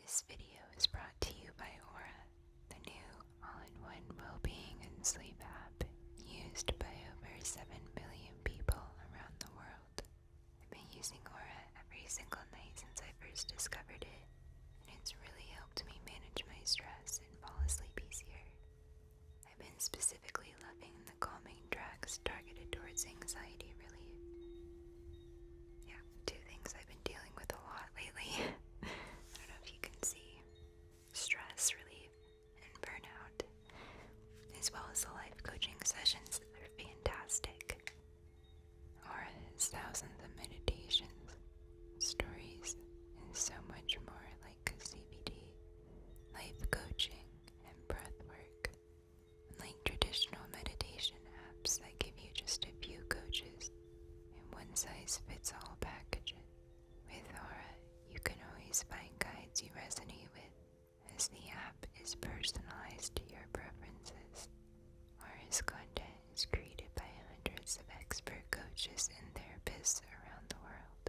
This video is brought to you by Aura, the new all-in-one well-being and sleep app used by over 7 billion people around the world. I've been using Aura every single night since I first discovered it, and it's really helped me manage my stress and fall asleep easier. I've been specifically loving the calming tracks targeted towards anxiety relief. Yeah, two things I've been dealing with a lot lately. I don't know if you can see stress relief and burnout, as well as the life coaching sessions. They're fantastic. Or thousands of meditations, stories, and so much more like CBD, life coaching, and breath work like traditional meditation apps that give you just a few coaches and one size fits all packages. With Aura, you can always find guides you resonate with, as the app is personalized to your preferences. Aura's content is created by hundreds of expert coaches and therapists around the world.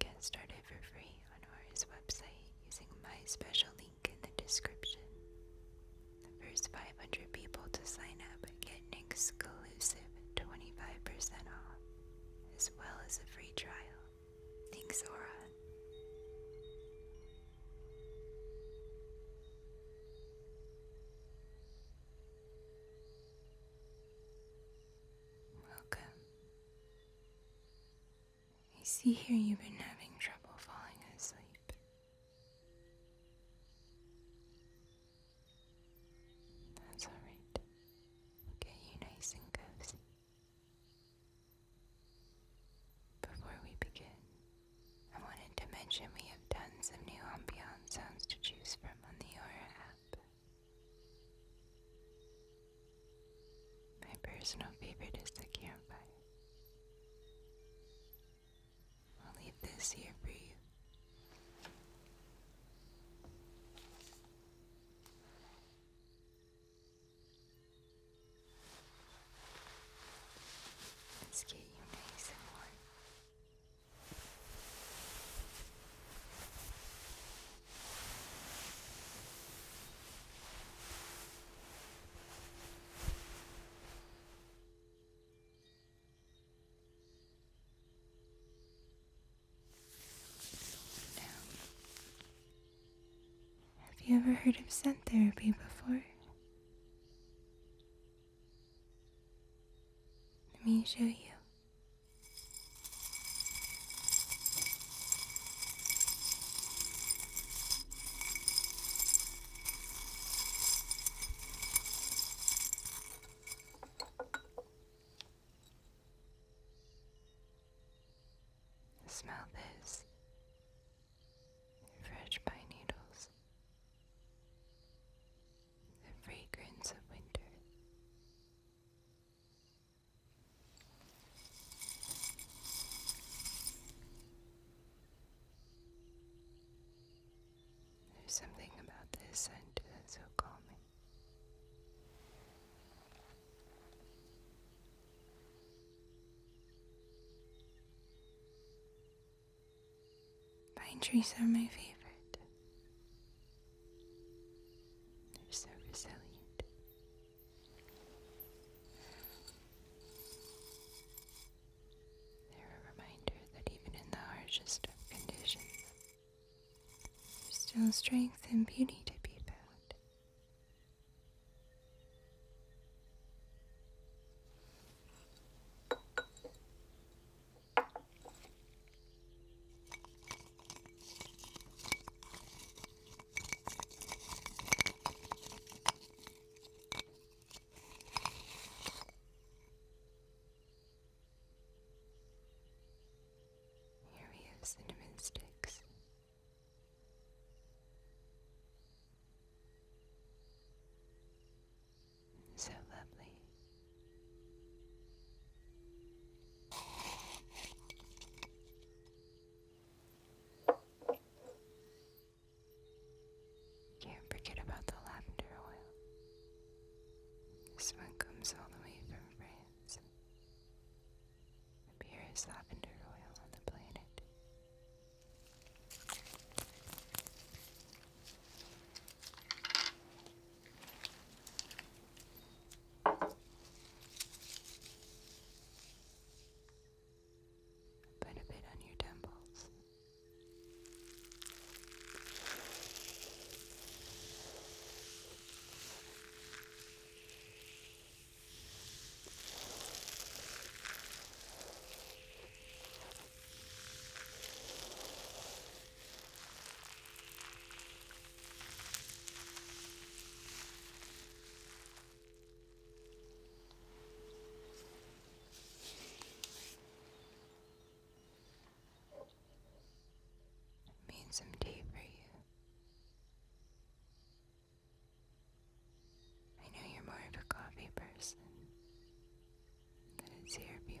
Get started for free on Aura's website using my special link in the description. The first 500 people to sign up get an exclusive 25% off, as well as a free trial. Thanks, Aura. Welcome. I see here you've been having trouble falling asleep. That's alright. get you nice and cozy. Before we begin, I wanted to mention we have tons of new ambiance sounds to choose from on the Aura app. My personal favorite is the campfire. I'll leave this here for you. Let's get you nice and warm have you ever heard of scent therapy before? Let me show you. Smell this. Fresh pine needles. The fragrance of winter. There's something about this scent that's so calming. Pine trees are my favorite. They're so resilient. They're a reminder that even in the harshest conditions, there's still strength and beauty to be found. Here he is, cinnamon sticks. So lovely. Can't forget about the lavender oil. This one comes all the way from France. The purest lavender oil on the planet. Put a bit on your temples. Made some tea for you. I know you're more of a coffee person, but it's here if you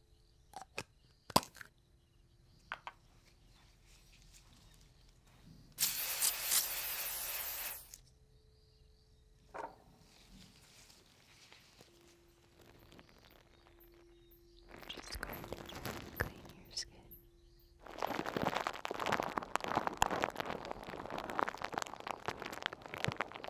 Just going to clean your skin.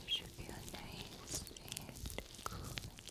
There should be a nice and cool. Good.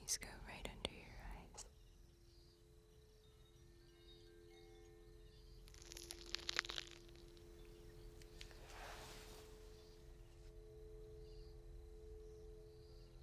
These go right under your eyes.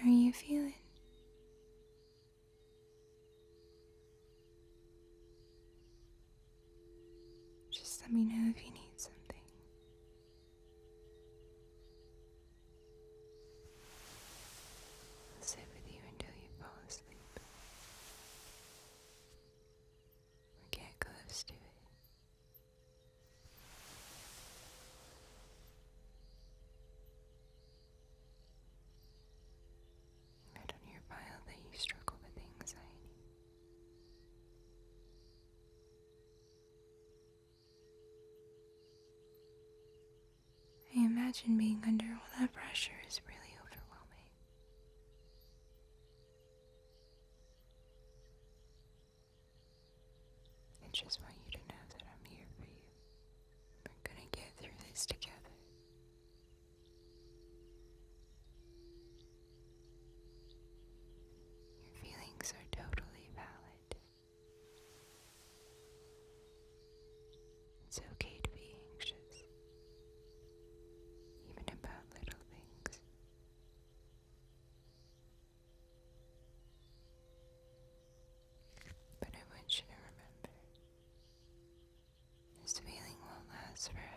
How are you feeling? Just let me know if you need something. I'll sit with you until you fall asleep get close to it. Write on your file that you struggle with anxiety. I imagine being under all that pressure is really overwhelming. I just want you to know that I'm here for you. We're gonna get through this together. Your feelings are totally valid. It's okay to be anxious, even about little things. But I want you to remember this feeling won't last forever.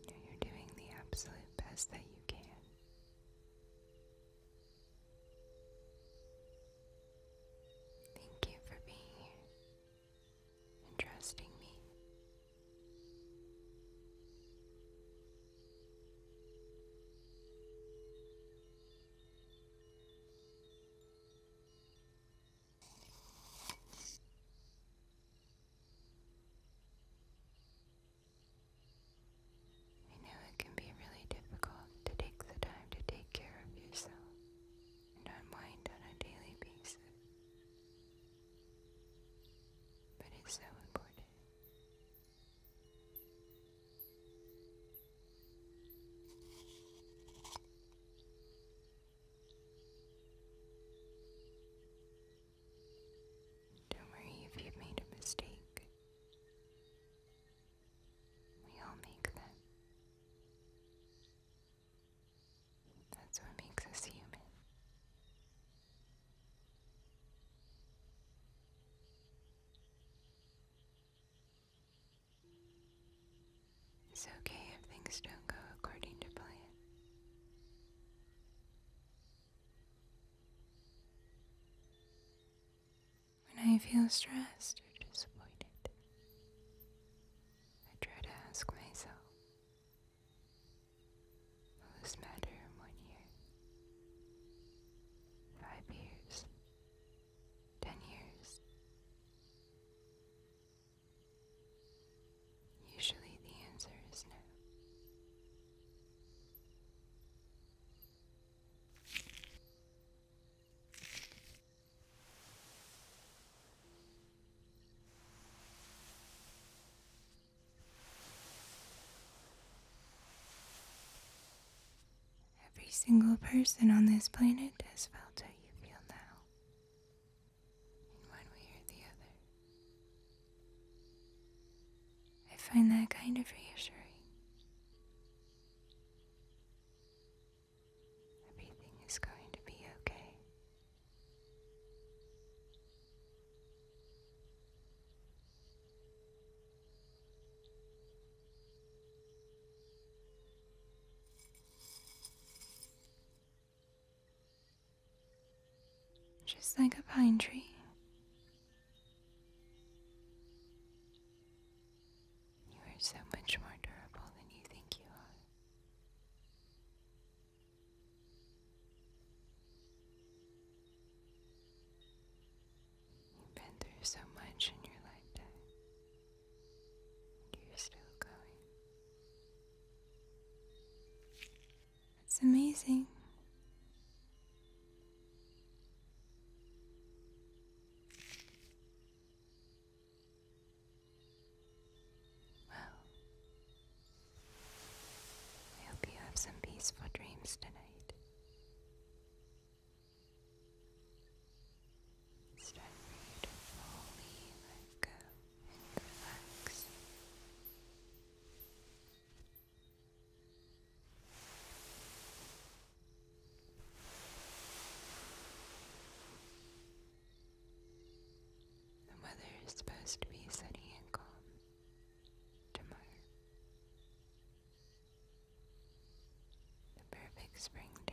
You're doing the absolute best that you can. Thank you for being here and trusting me. I know it can be really difficult to take the time to take care of yourself and unwind on a daily basis. But it's so important. Don't worry if you've made a mistake. We all make them. That's what makes us human. It's okay if things don't go according to plan. When I feel stressed or disappointed, I try to ask myself, will matter in one year? Five years? Ten years? Usually the answer is no. Every single person on this planet has felt how you feel now in one way or the other. I find that kind of reassuring. Everything is going to be okay just like a pine tree. You are so much more durable than you think you are. You've been through so much in your lifetime, and you're still going. It's amazing. Well, I hope you have some peaceful dreams tonight. It's time the weather is supposed to be sunny and calm tomorrow. The perfect spring day